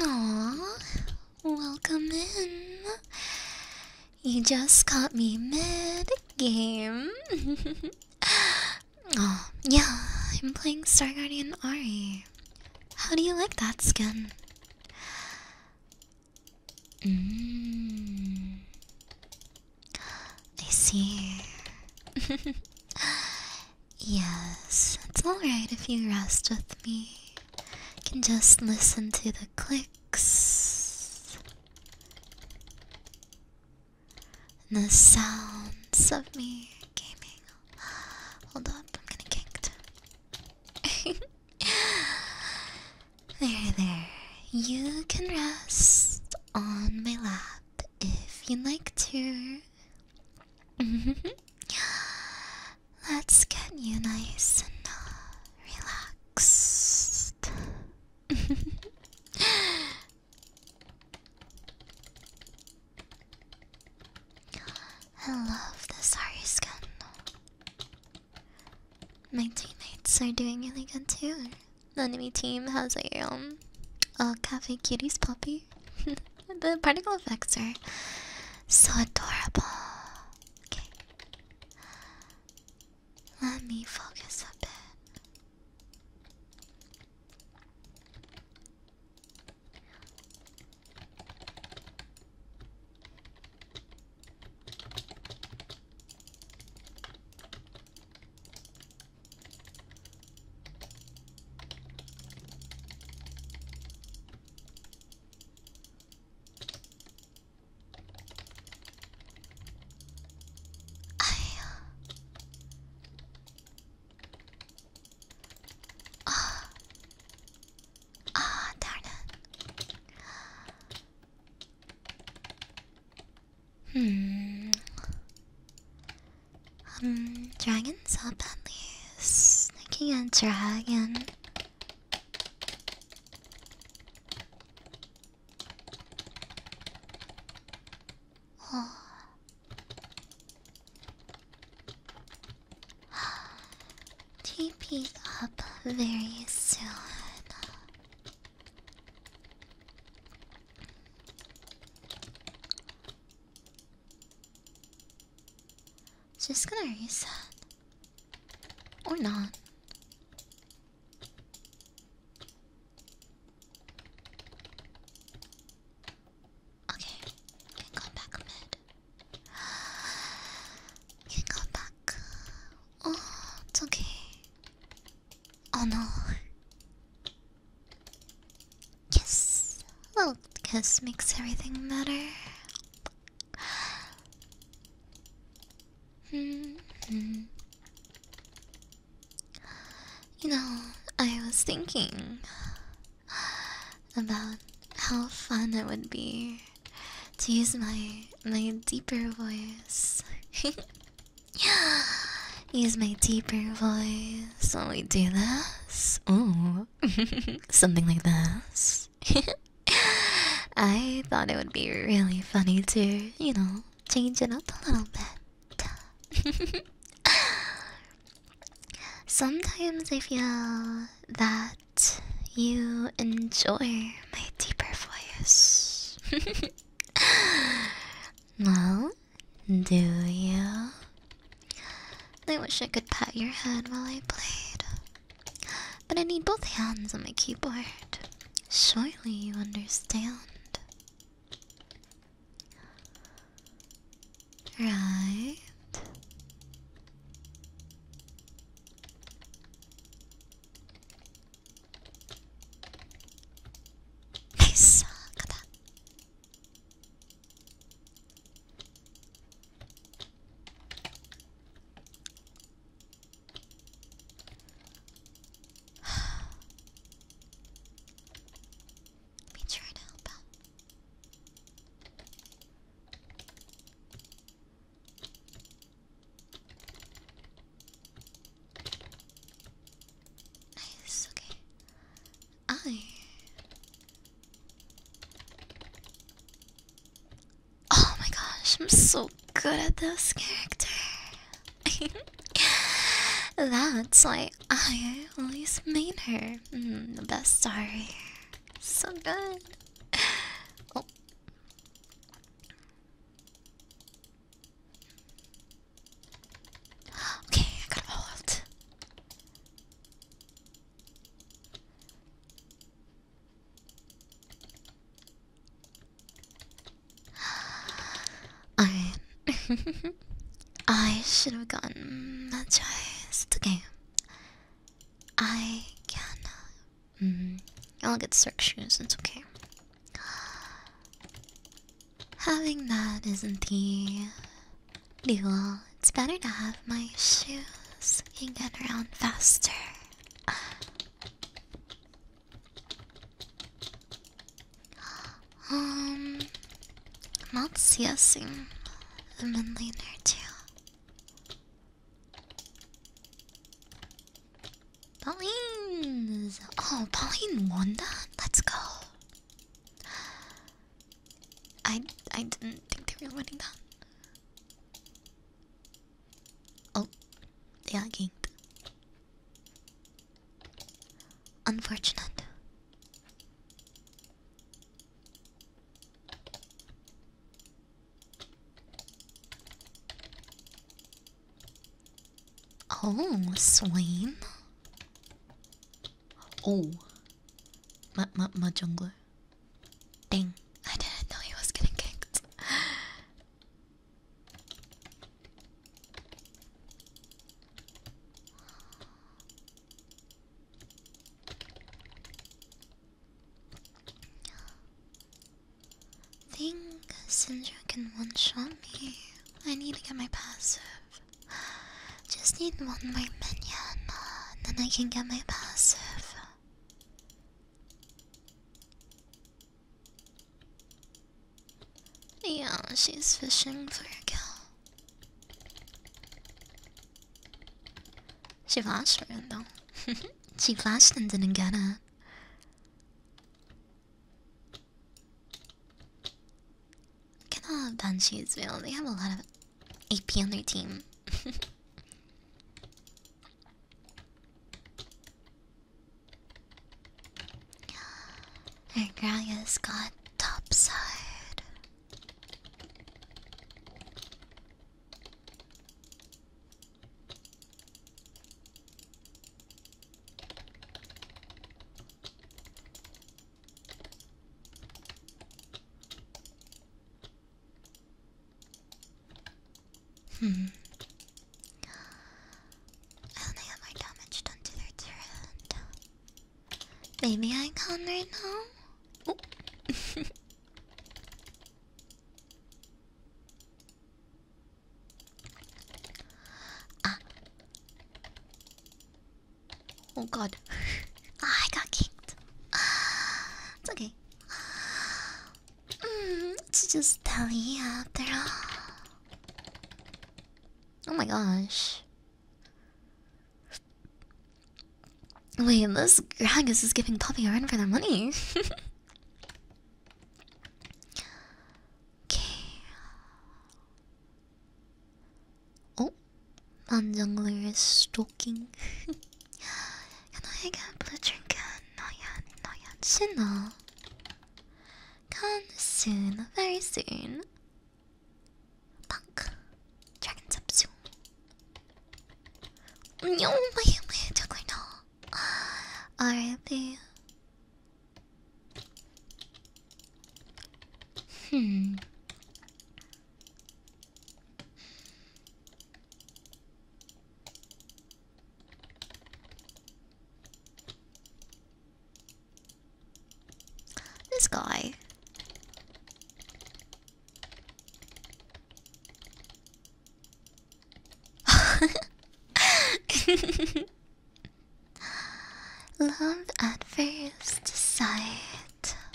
Aw, welcome in. You just caught me mid game. oh, yeah, I'm playing Star Guardian Ari. How do you like that skin? Mmm. I see. Yes, it's alright if you rest with me. You can just listen to the clicks and the sounds of me gaming. Hold up, I'm gonna kinked. there, there. You can rest on my lap if you'd like to. Let's get you nice and uh, relaxed. I love this Ari skin. My teammates are doing really good too. The enemy team has a um a cafe kitties puppy the particle effects are so adorable. Okay. Let me focus a bit. Ah, oh. darn it. Hmm. Um, dragons up at least. Sneaking a dragon. Oh. TP up very soon. Just gonna reset Or not. Okay, can come back can come back. Oh, okay. Oh no. Kiss. A kiss makes everything better. -hmm. You know, I was thinking about how fun it would be to use my my deeper voice. use my deeper voice when we do this. Ooh something like this. I thought it would be really funny to, you know, change it up a little bit. Sometimes I feel that you enjoy my deeper voice. well, do you? I wish I could pat your head while I played. But I need both hands on my keyboard. Surely you understand. Right. I suck Let me try to help out. Nice, okay. I. Oh my gosh, I'm so good at this character. That's why I always made her mm, the best story. So good. Oh. Okay, I got a ult. I I should have gotten that choice. It's okay. I can. Mm, I'll get Cirque shoes. It's okay. Having that isn't the Dual, it's better to have my shoes. You can get around faster. Um, I'm not CSing the mid laner too. Pauline. Oh, Pauline Wanda. Let's go. I I didn't think they were running that. Oh, they are ganked. Unfortunate. Oh, Swain. Oh, my, my, my jungler. Ding! I didn't know he was getting kicked. Think Sindra can one shot me. I need to get my passive. Just need one more minion, uh, then I can get my passive. Yeah, she's fishing for a kill. She flashed for though. she flashed and didn't get it. Cannot have banshees. Shadesville. They have a lot of AP on their team. guy has got topside. Hmm. I only have more damage done to their turret. Baby icon right now? Oh. ah. Oh god. Ah, I got kicked. It's okay. Mm, it's just Telly after all. Oh my gosh. Wait, this Gragas is giving Poppy a run for their money. okay. Oh, Ban Jungler is stalking. Can I get blue trinket? Not yet, not yet. Soon Come soon, very soon. Punk. Dragon up soon. No, my my juggler no. R.I.P. Hmm. This guy. Love at first sight.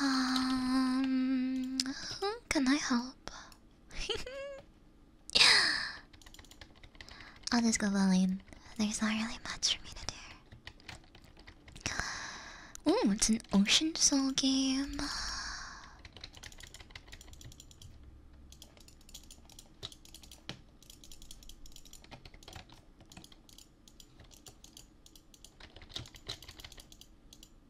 Um, can I help? I'll just go bowling. There's not really much for me to do. Oh, it's an Ocean Soul game.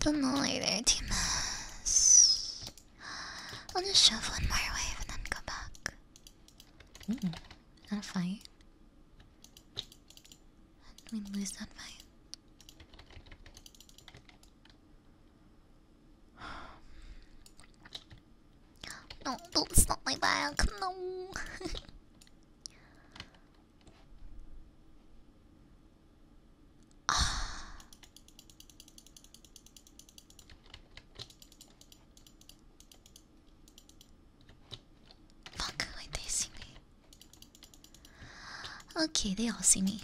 Don't know there, team. I'll just shove one more wave and then go back. Mm a fight. We lose that fight. No, don't stop my back. No. Fuck, they see me. Okay, they all see me.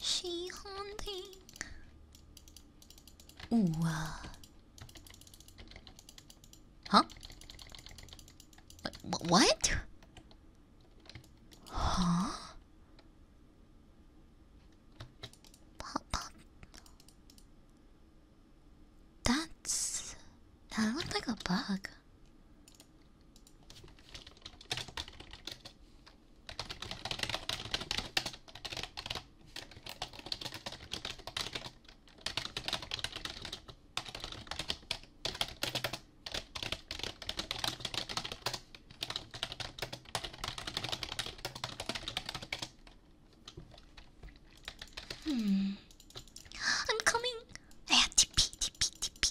She haunting. Oh, Uh. Huh? what? Huh? Pop, pop. That's that looked like a bug. Hmm. I'm coming. I have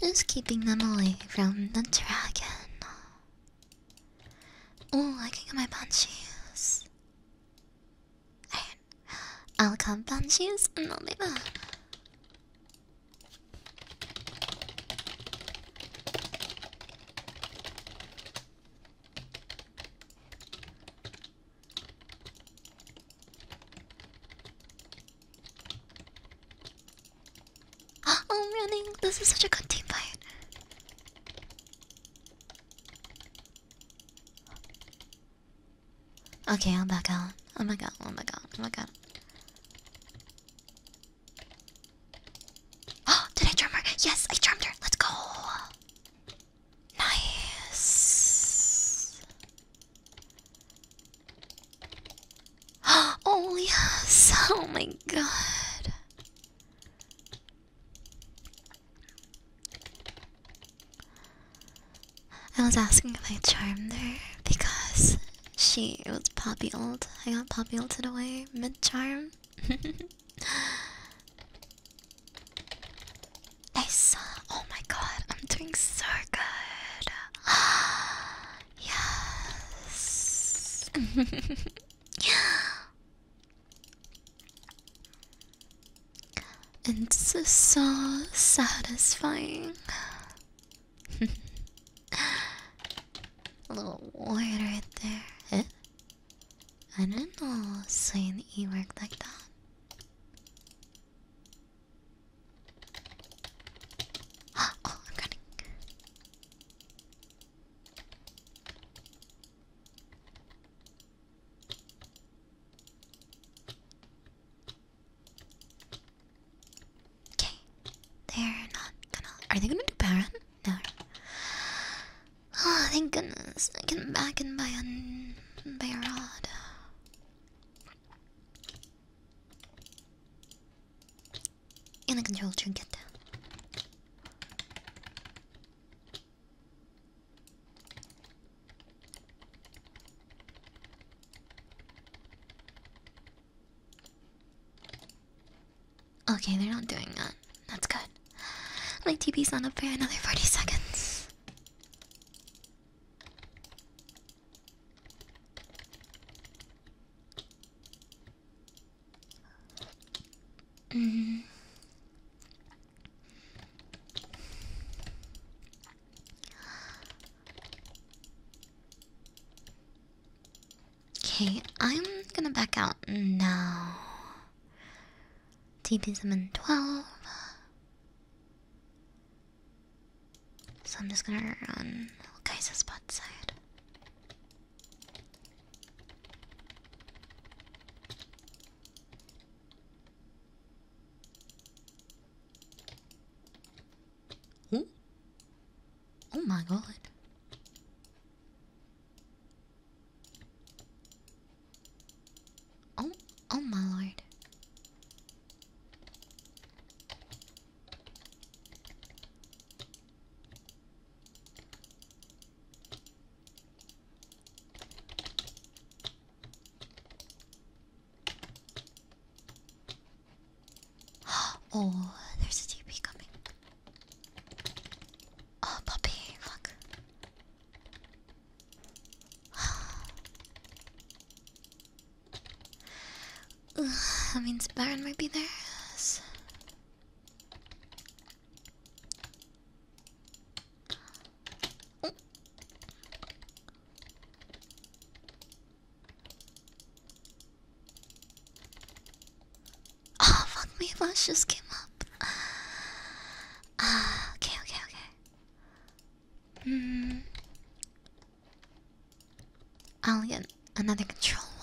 Just keeping them away from the dragon. Oh, I can get my bunchies. I'll come bunchies and mm, I'll oh, be back. I'm oh, running. This is such a good team fight. Okay, I'm back out. Oh my god, oh my god, oh my god. Oh, did I charm her? Yes, I charmed her. Let's go. Nice. Oh, yes. Oh, my God. I was asking if I charm there because she was poppy old. I got poppy old ulted away mid charm. I saw. Oh my god, I'm doing so good yes. it's so satisfying. A little word right there. I do not know saying E worked like that. Oh, they're not gonna. Are they gonna do Baron? No. Oh, thank goodness. I can back in by a, by a rod. And a control trinket. Okay, they're not doing that. That's good. My TP's not up for another 40 seconds. Okay, I'm gonna back out now. TP summon 12. So I'm just gonna run Kaisa's butt side. Hmm? Oh my god. Oh, oh my lord. oh, there's a TV coming. Oh, puppy, fuck. I mean, means Baron might be there. So oh. fuck me, Flash just came up. Ah, okay, okay, okay. Hmm. Alien, another control word.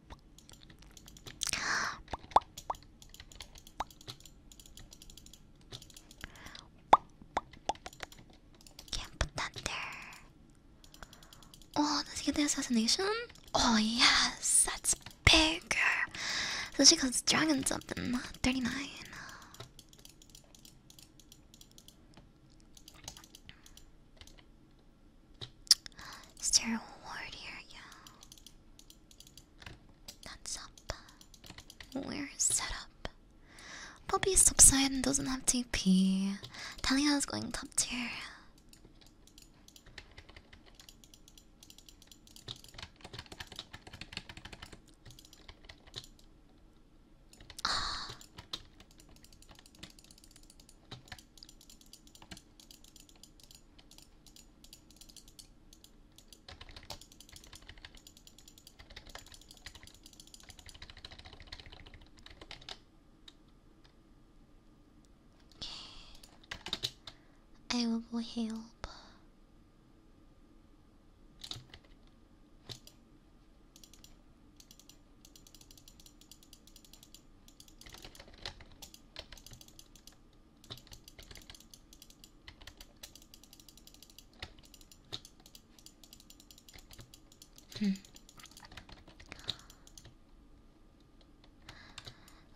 Can't Oh, does he get the assassination? Oh yes, that's bigger. So she goes dragon something. Thirty-nine. Is ward here? Yeah. That's up. Where is set up. top side and doesn't have TP. Talia's going top tier. Ah. I will help.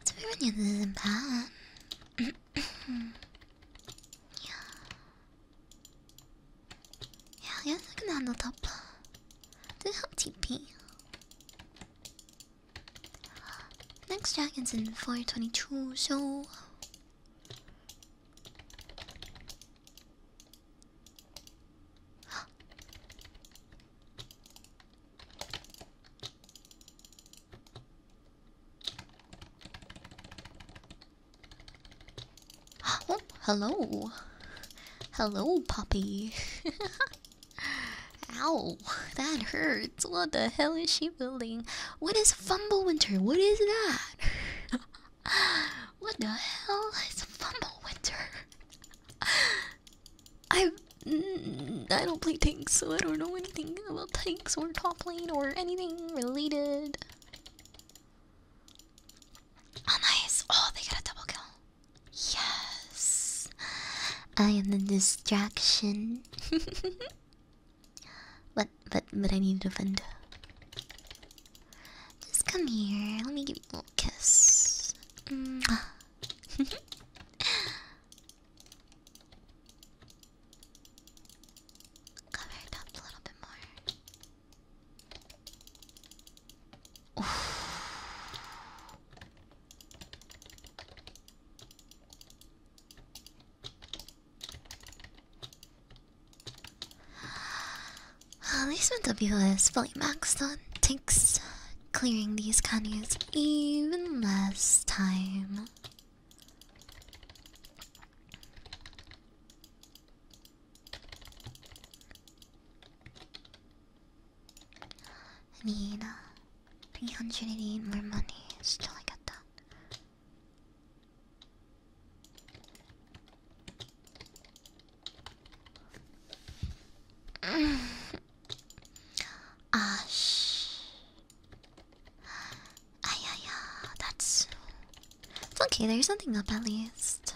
这怎么办？야, 연습은 안 얻어봐. 또 형집이. Next dragon's in 422, so oh, hello. Hello, puppy. Ow, that hurts. What the hell is she building? What is Fumble Winter? What is that? what the hell is Fumble Winter? I mm, I don't play tanks, so I don't know anything about tanks or top lane or anything related. nice! Oh, they got a double kill. Yes, I am the distraction. but but but I need a vendor. Just come here. Let me give you a little kiss. Mm. Cover it up a little bit more. At least my W is fully maxed on. Takes clearing these canyons even less time. I need uh, 380 more money, still I got that. Ah, Ah, yeah, yeah, that's. It's okay, there's something up at least.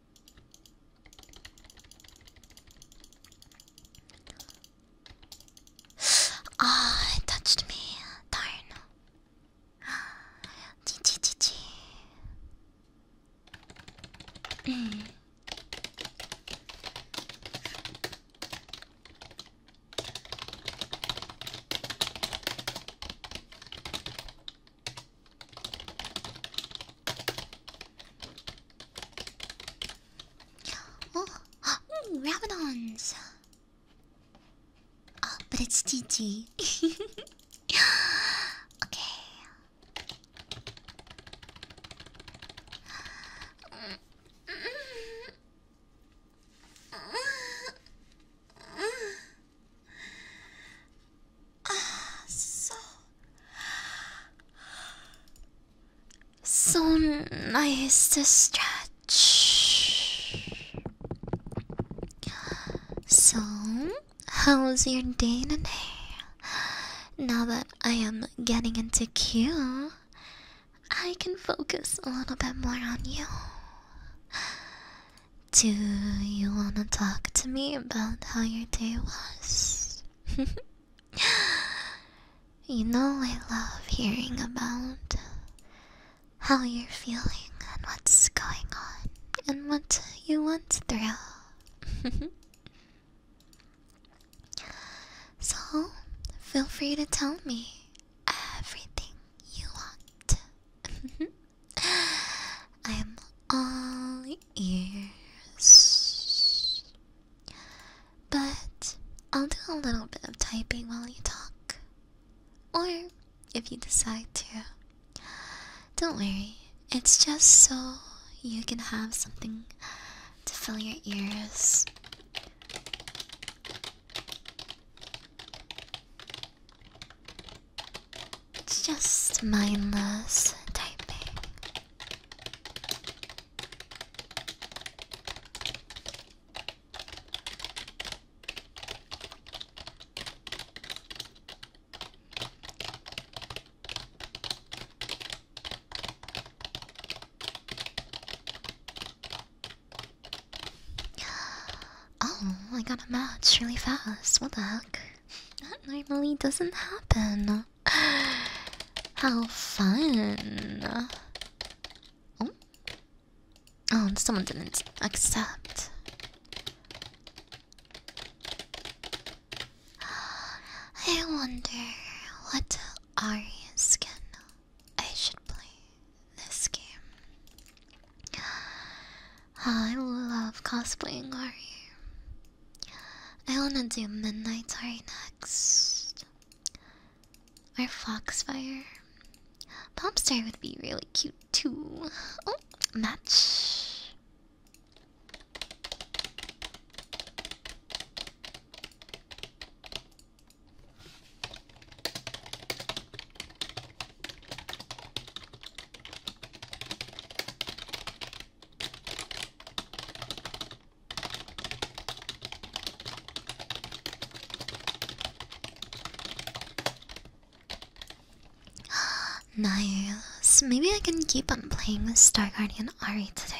Ah, it touched me. Darn. GG mm. Oh, mm, Rabidons! Oh, but it's GG. okay. Ah, so so nice to stretch. So, how's your day today? Now that I am getting into queue, I can focus a little bit more on you. Do you want to talk to me about how your day was. you know, I love hearing about how you're feeling and what's going on and what you went through. so, feel free to tell me everything you want. I'm all ears. But I'll do a little bit of typing while you talk. Or if you decide to. Don't worry, it's just so you can have something to fill your ears. It's just mindless typing. Oh, I got a match really fast. What the heck? That normally doesn't happen. How fun. Oh, oh someone didn't accept. I wonder what Aria's skin I should play this game. I love cosplaying Ari. I wanna do Midnight Sorry next. Or Foxfire. Popstar would be really cute too. Oh, match. nice. Maybe I can keep on playing with Star Guardian Ari today.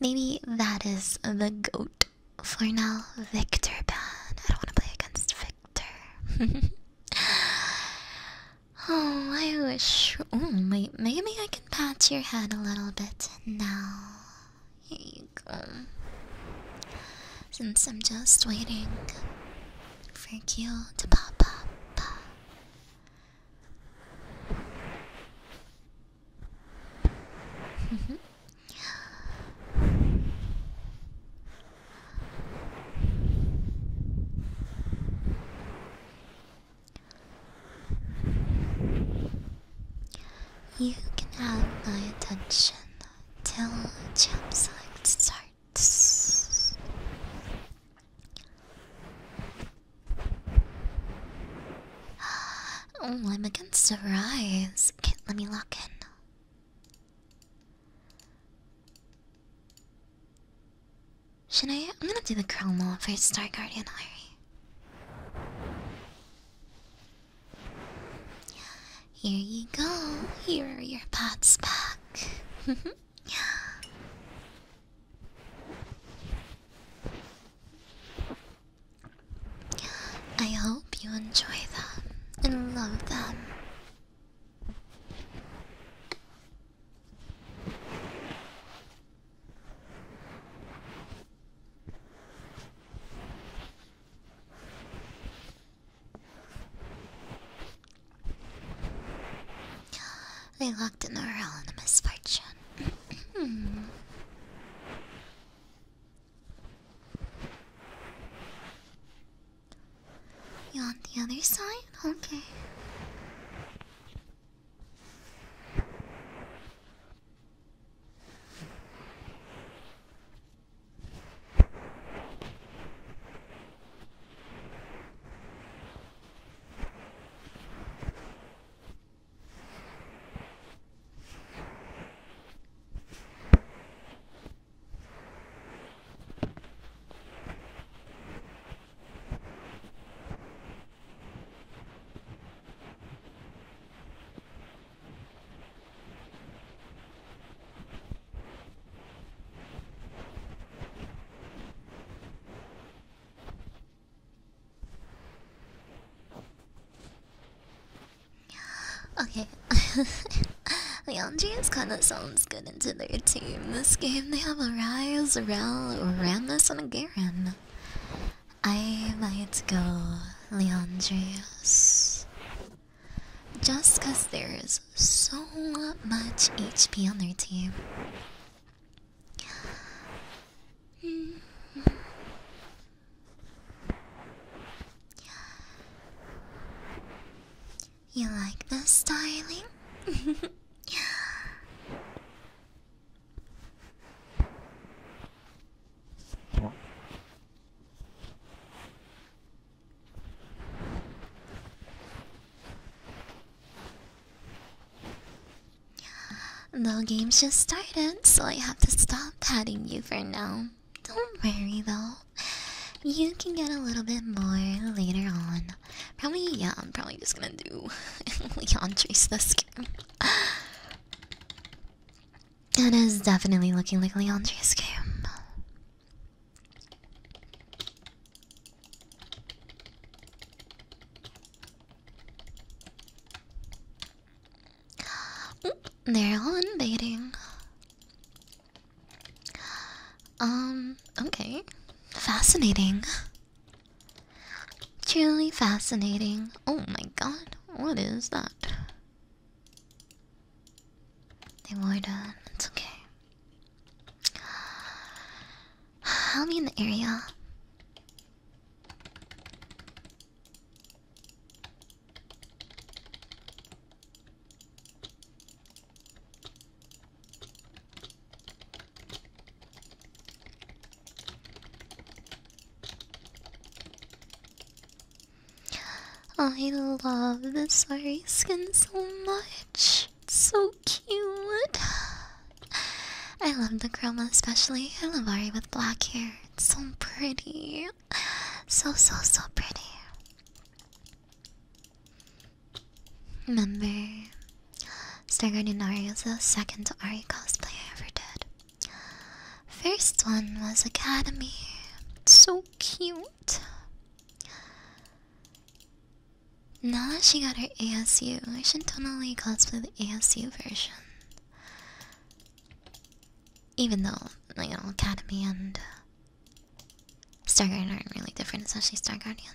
Maybe that is the goat for now. Victor ban. I don't want to play against Victor. Oh, I wish. Oh, my, maybe I can pat your head a little bit now. Here you go. Since I'm just waiting for you to pop up. You can have my attention till jump Jumpside starts. Oh, I'm against a rise. can let me lock in. Should I? am gonna do the Crown Law for Star Guardian Ari. Here you go. Here are your pots back. I hope you enjoy them and love them. They locked in the in a misfortune. You on the other side? Okay. Okay, Leandria kind of sounds good it into their team. This game, they have a Ryze, a Rel, Ramnus, and a Garen. I might go Leandrius. Just because there is so much HP on their team. Mm -hmm. You like the styling? The game's just started, so I have to stop patting you for now. Don't worry though, you can get a little bit more later on. Probably, yeah, I'm probably just gonna do Leon Trace this It is definitely looking like Leon Trace They're all invading. Um, okay. Fascinating. Truly fascinating. Oh my god, what is that? They were done. It's okay. I'll be in the area. I love the sorry skin so much. so cute. I love the chroma especially. I love Ari with black hair. so pretty. So so so pretty. Remember, Stagger Nunari is the second Ari cosplay I ever did. First one was Academy. So cute. Now that she got her ASU, I should totally cosplay the ASU version. Even though, you Academy and Star Guardian aren't really different, especially Star Guardian.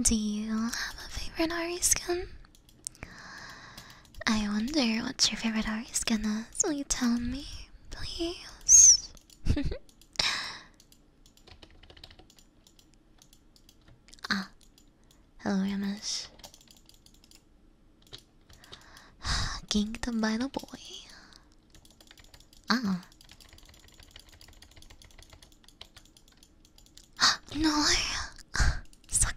Do you have a favorite Ari skin? I wonder what's your favorite Ari skin is. Will you tell me, please? Ah, hello, Ramus. King him by the boy. Ah. no, so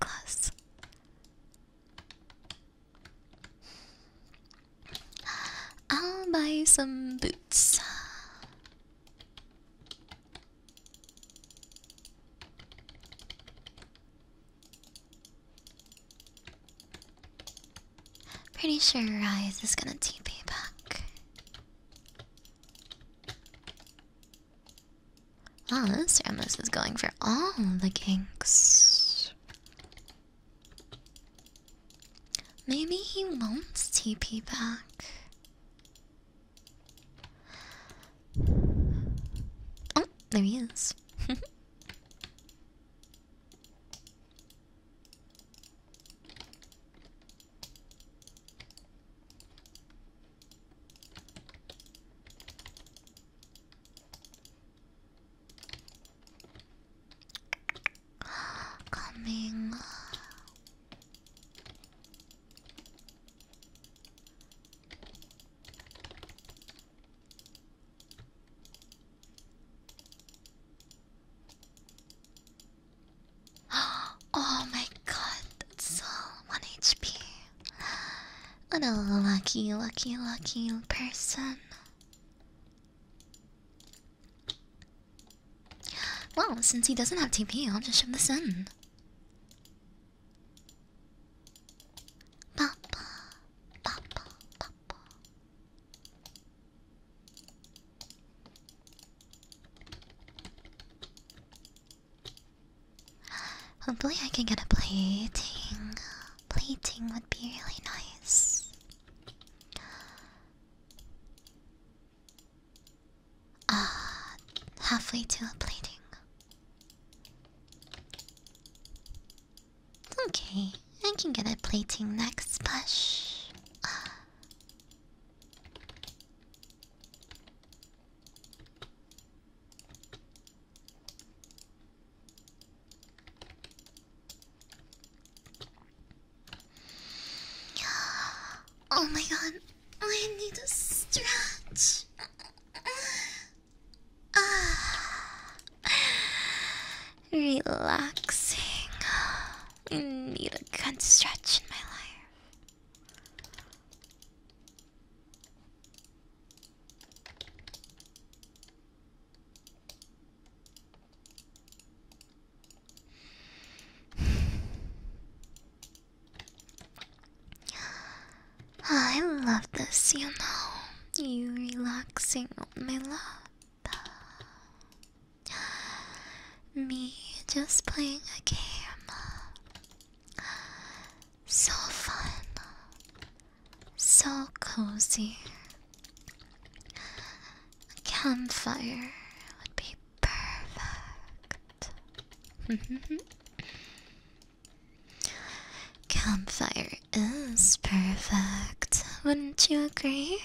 I'll buy some boots. Pretty sure Rise is gonna TP back. Oh, this Ramos is going for all the kinks. Maybe he won't TP back. Oh, there he is. Coming. oh my god, that's all one HP. What a lucky, lucky, lucky person. Well, since he doesn't have TP, I'll just shove this in. Papa, Papa, Papa. Hopefully, I can get a plating. Plating would be really nice uh, halfway to a plating. Okay, I can get a plating next push. Uh. Oh my god, I need a stretch. Ah, relaxing. I need a good stretch in my life. I love this, you know. You relaxing on my lap. Me just playing a game. So fun. So cozy. A campfire would be Perfect. Campfire is perfect, wouldn't you agree?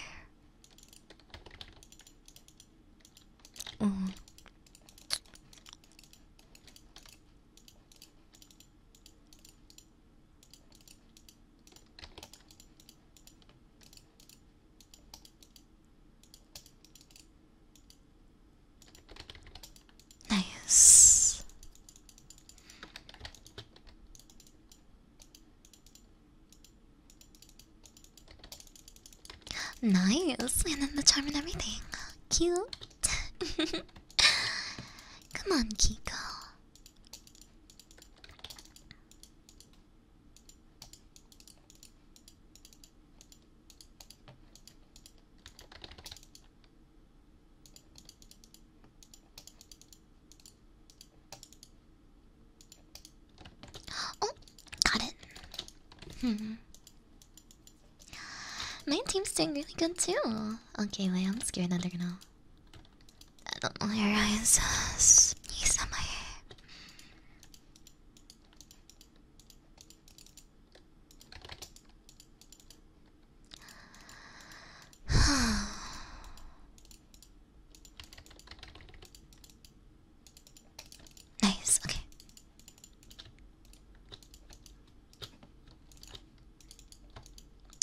Nice. Nice, and then the charm and everything. Cute. Come on, Kiko. Oh, got it. Hmm. My team's doing really good too. Okay, wait, I'm scared that they're gonna. I don't know your eyes. He's on my hair. nice, okay.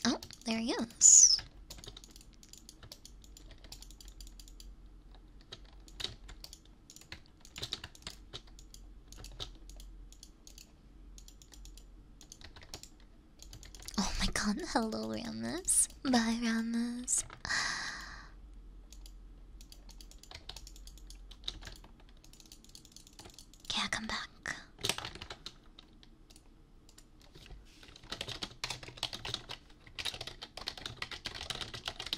Oh, there he is. Oh my god, hello Ramus. Bye Ramus. Okay, i come back.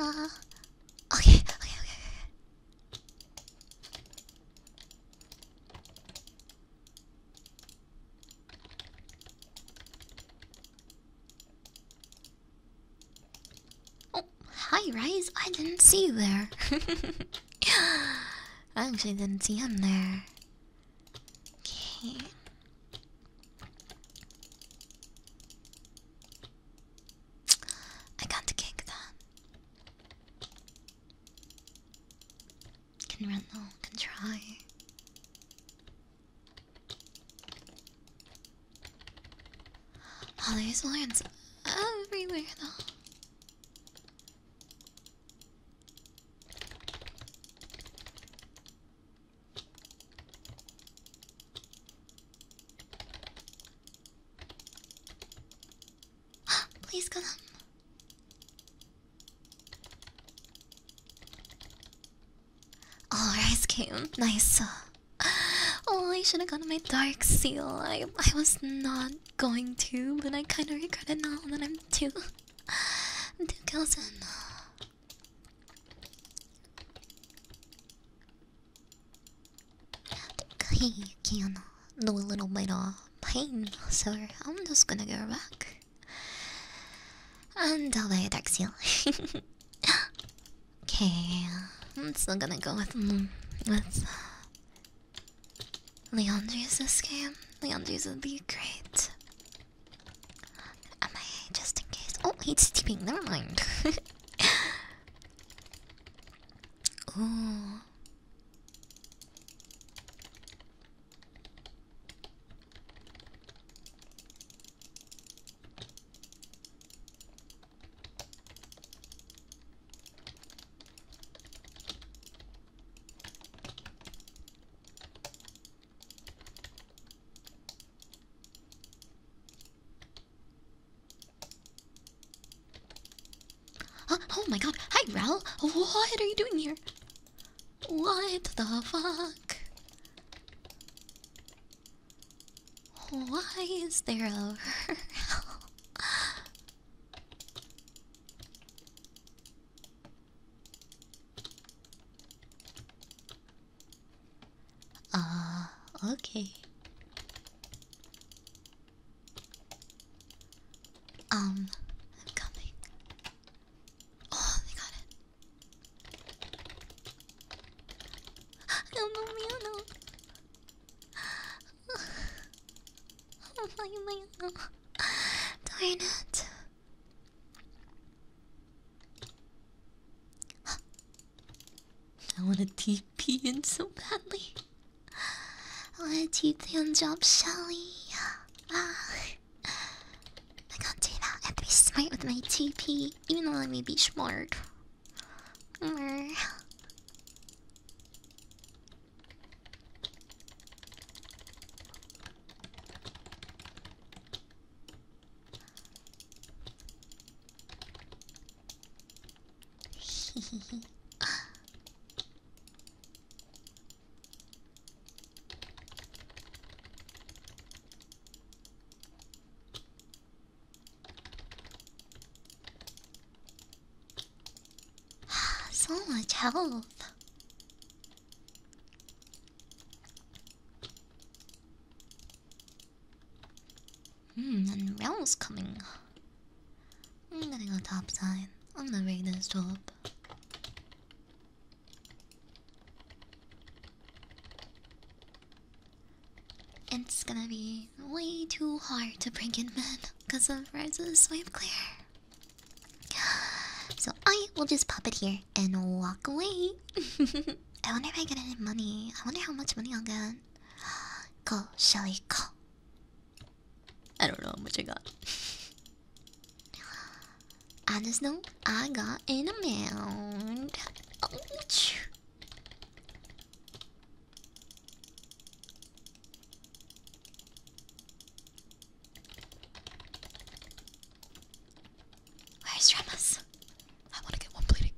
Uh, okay, okay, okay. Oh, hi, Rise. I didn't see you there. I actually didn't see him there. Okay. I can't kick that. Can run though, can try. Oh, there's lions everywhere though. Please come. Alright, oh, Rice Came. Nice. Oh, I should have gone to my Dark Seal. I, I was not going to, but I kind of regret it now that I'm too. two thousand. You can do a little bit of pain, so I'm just gonna go back. And I'll lay Okay, I'm still gonna go with mm, with uh, Leandre's this game. Leandre's would be great. Am I just in case? Oh, he's sleeping. Never mind. Ooh oh my god. Hi, Ral. What are you doing here? What the fuck? Why is there a Ah, okay. Um, I'm coming. Oh, they got it. Don't move me alone. Oh my god. Darn it. I want a TP in so badly. I want a TP on Job Shelly. Ah. I can't do that. I have to be smart with my TP, even though I may be smart. so much health. Hmm, and Real's coming. I'm getting a top sign. I'm gonna rig this job. It's gonna be way too hard to bring in men because of Rise's swipe clear. So I will just pop it here and walk away. I wonder if I get any money. I wonder how much money I'll get. Go, Shelly, go. I don't know how much I got. I just know I got an amount. Where's Remus? I want to get one bleeding.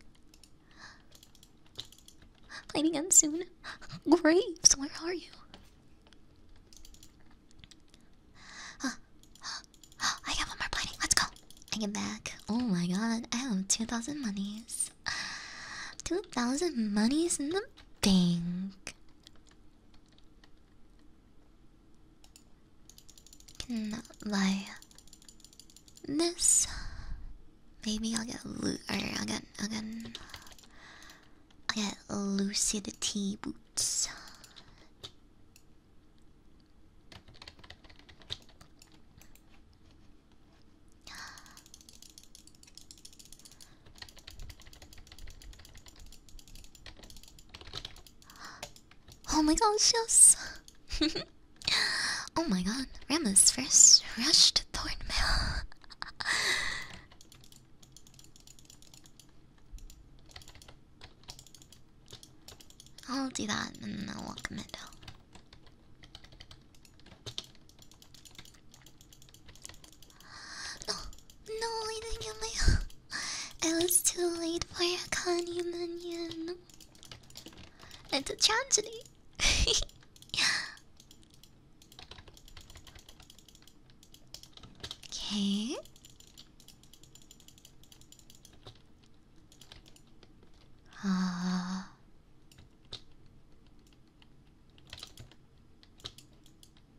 Bleeding end soon. Graves, where are you? I got one more bleeding. Let's go. I get back. Oh my god, I have 2,000 monies. 2,000 monies in the bank by this, maybe I'll get lu or i get i get i get lucidity boots. Oh my gosh, yes! oh my god, Rama's first rush to Thornmail. I'll do that and then I'll welcome it. No, no, I didn't get my. it was too late for a Connie Minion. It's a tragedy. okay. Ah.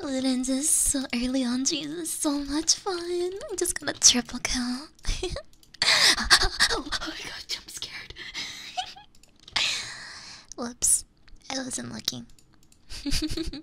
Ludens is so early on, Jesus, so much fun. I'm just gonna triple kill. oh, oh, oh my scared. Whoops, I wasn't looking.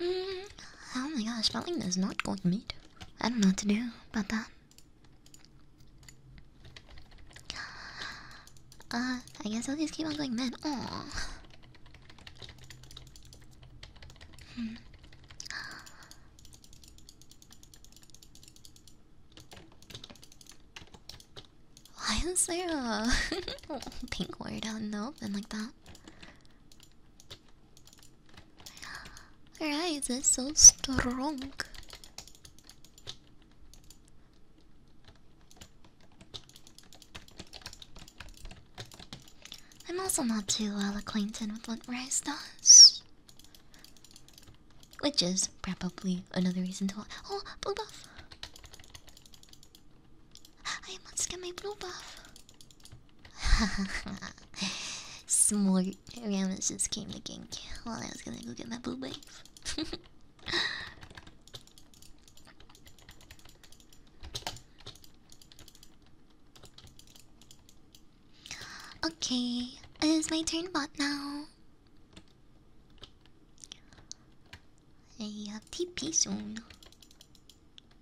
Mm, oh my gosh, spelling is not going to meet. I don't know what to do about that. Uh, I guess I'll just keep on going then. Aww. Hmm. Why is there a pink word out in like that? Alright, that's so strong. I'm also not too well acquainted with what rice does. Which is probably another reason to Oh, Blue Buff! I must get my blue buff. Smart. Rammus just came to gank while well, I was gonna go get my blue buff. okay, it is my turn bot now. I TP soon.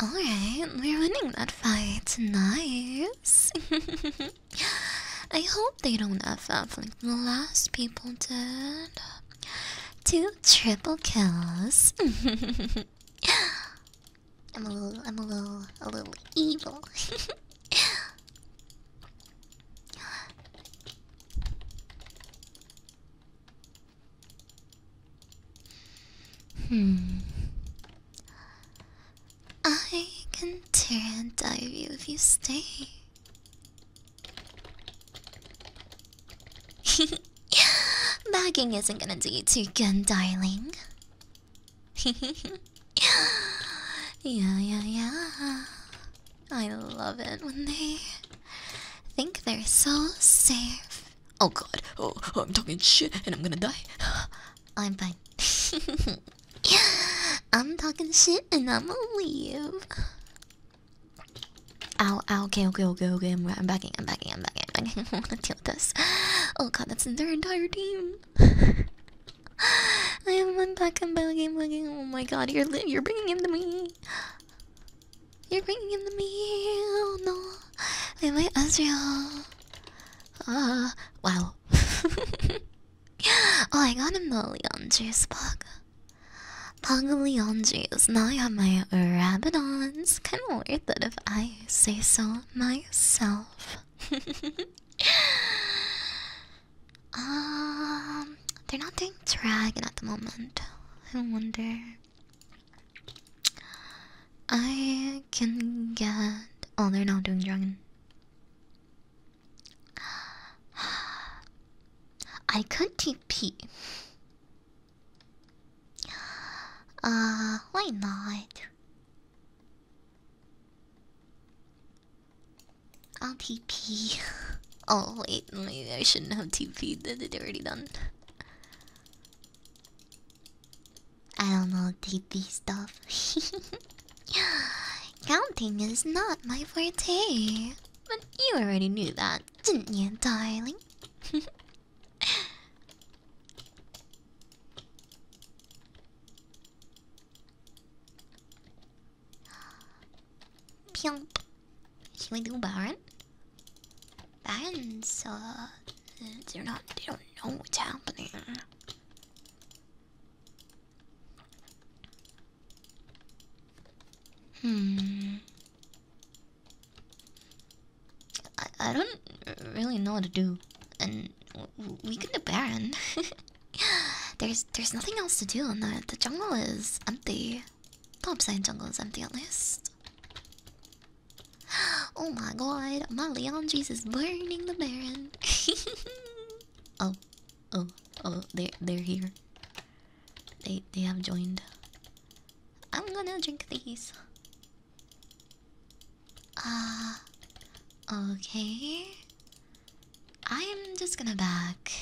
Alright, we're winning that fight. tonight. I hope they don't F up like the last people did. Two triple kills. I'm a little, I'm a little, a little evil. Hmm. I can tear and dive you if you stay. Bagging isn't gonna do you too good, darling. yeah, yeah, yeah. I love it when they think they're so safe. Oh god, oh, oh I'm talking shit and I'm gonna die. I'm fine. I'm talking shit and I'm gonna leave. Ow, ow, okay, okay, okay, okay. I'm, I'm backing, I'm backing, I'm backing, I'm backing. I am backing i am backing i am backing i do deal with this. Oh god, that's their entire team. I am one back, i backing, backing. Oh my god, you're, you're bringing him to me. You're bringing him to me. Oh no. Wait, my Ezreal. Uh, wow. oh, I got a the Juice Pug. Pug Leon Juice. Now I have my Rabidons. Kind of weird that if I say so myself. um, they're not doing dragon at the moment. I wonder. I can get. Oh, they're not doing dragon. I could TP. Uh, why not? I'll TP. Oh, wait, maybe I shouldn't have TP'd. It's already done. I don't know DP stuff. Counting is not my forte. But you already knew that, didn't you, darling? Should we do Baron? fans, they're not, they don't know what's happening. Hmm. I, I don't really know what to do, and we can do Baron. there's there's nothing else to do, in the the jungle is empty. Top side jungle is empty at least. Oh my god, my Leandries is burning the Baron. oh, oh, oh, they're, they're here. They, they have joined. I'm gonna drink these. Ah, okay. I'm just gonna back.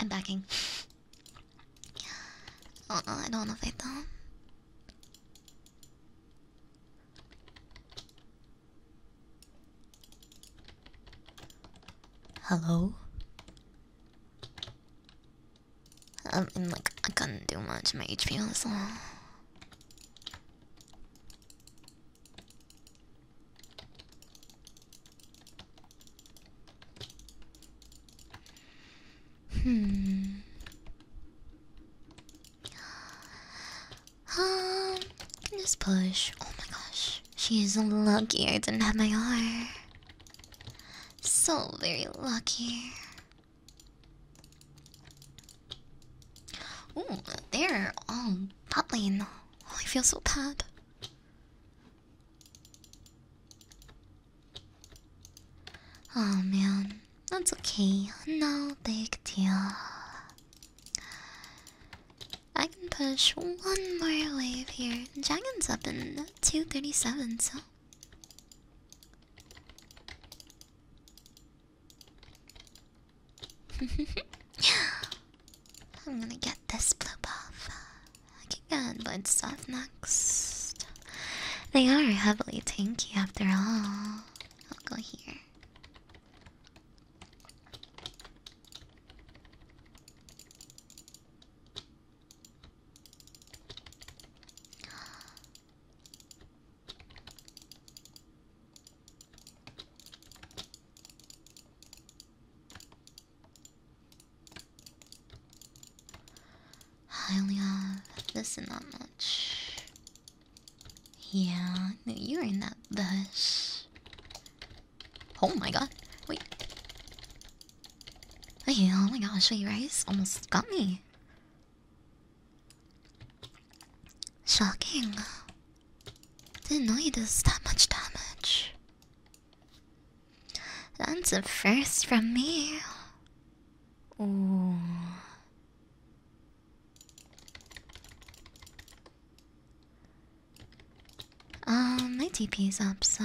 I'm backing. Uh -uh, I don't know if I don't. Hello? I like, I couldn't do much. My HP was low. Hmm. just um, push. Oh my gosh. She is lucky I didn't have my R. So very lucky. Oh, they're all bubbling. Oh, I feel so bad. Oh man, that's okay. No big deal. I can push one more wave here. Dragon's up in 237, so. I'm gonna get this blue off. I can get blood stuff next. They are heavily tanky after all. I'll go here. I only have this and not much. Yeah, you are in that bush. Oh my god. Wait. Wait, oh my god! Show wait, Rice almost got me. Shocking. Didn't know you did that much damage. That's a first from me. Ooh. Um, my TP is up, so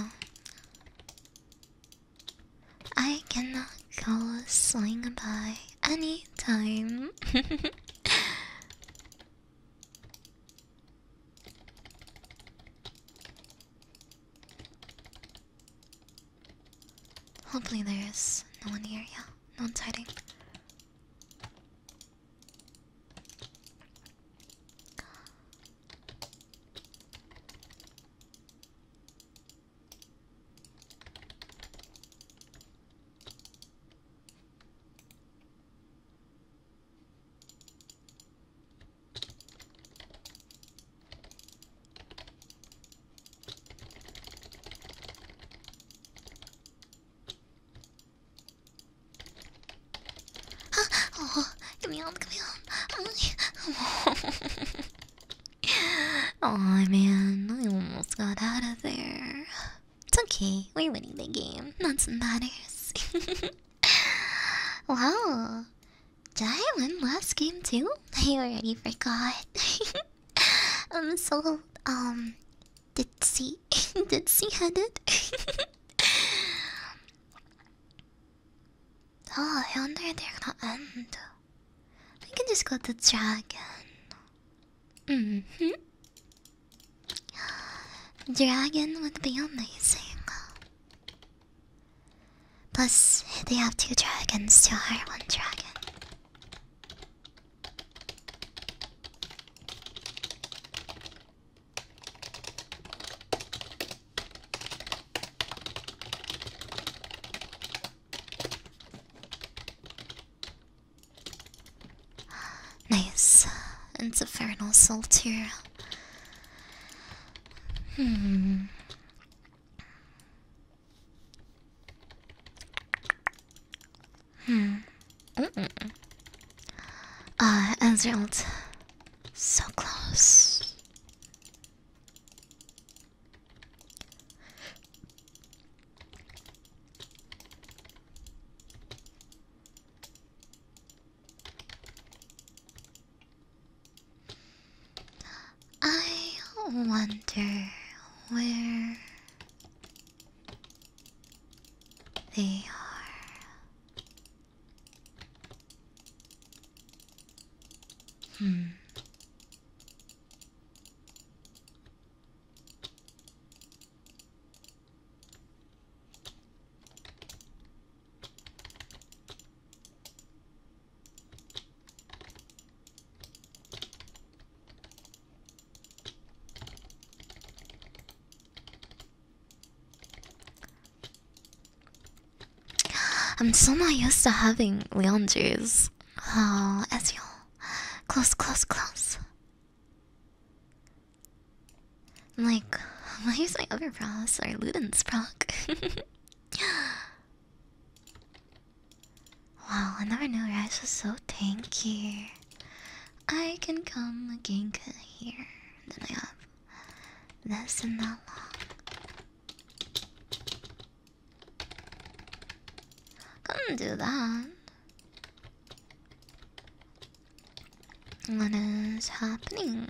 I cannot go swing by any time. Hopefully there is no one here, yeah. No one's hiding oh, come on, come on. oh man, I almost got out of there. It's okay, we're winning the game. That's what matters. wow, Jailen last game too? I already forgot. I'm so um ditzy ditzy headed. oh, I wonder if they're gonna end. I can just go to dragon. hmm Dragon would be amazing. Plus, they have two dragons to hire one dragon. Nice. It's a Infernal Soul too. Hmm. Hmm. Mm -mm. Uh, Ezreal. So close. I wonder where they are. Hmm. I'm so not used to having Leon Oh, Ezreal. Close, close, close. I'm like, why is my other Pross or Luden's proc? Wow, I never knew rice was so tanky. I can come again here. Then I have this and that long. could do that. What is happening?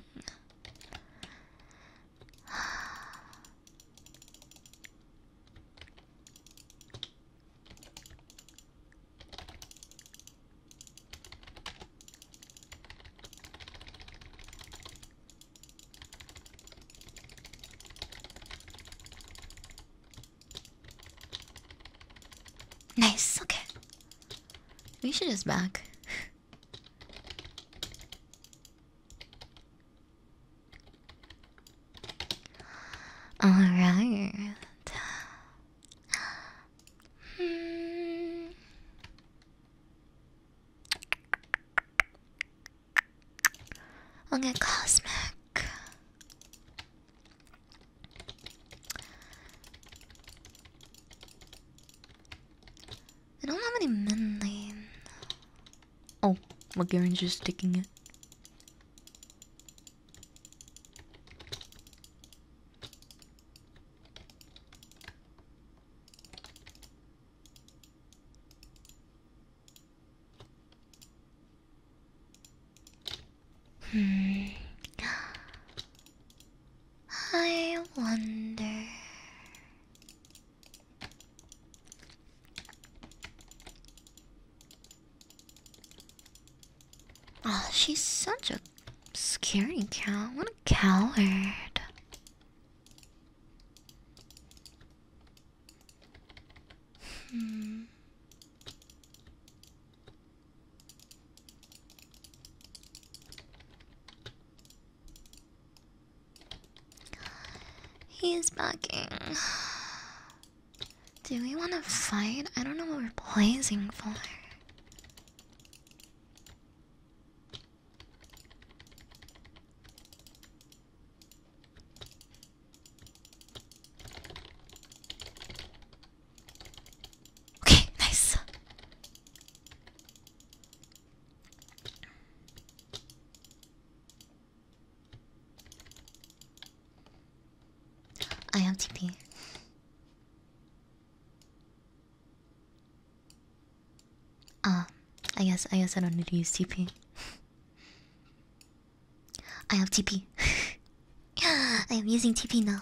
Nice, okay. We should just back. Alright. Hmm. i get cosmic. I don't have any men lane. Oh, McGarren's just sticking it. Hmm. I wonder. Oh, she's such a scary cow. What a coward. Hmm. He's backing. Do we want to fight? I don't know what we're blazing for. Okay, nice. I have TP. Ah, I guess I guess I don't need to use TP. I have TP. I am using TP now.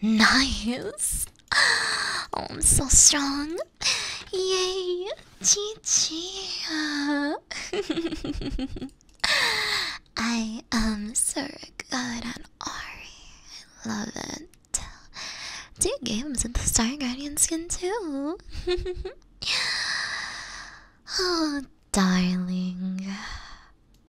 Nice. Oh, I'm so strong. Yay. GG. I am so good at Ori. I love it. Two games with the Star Guardian skin, too. oh, darling.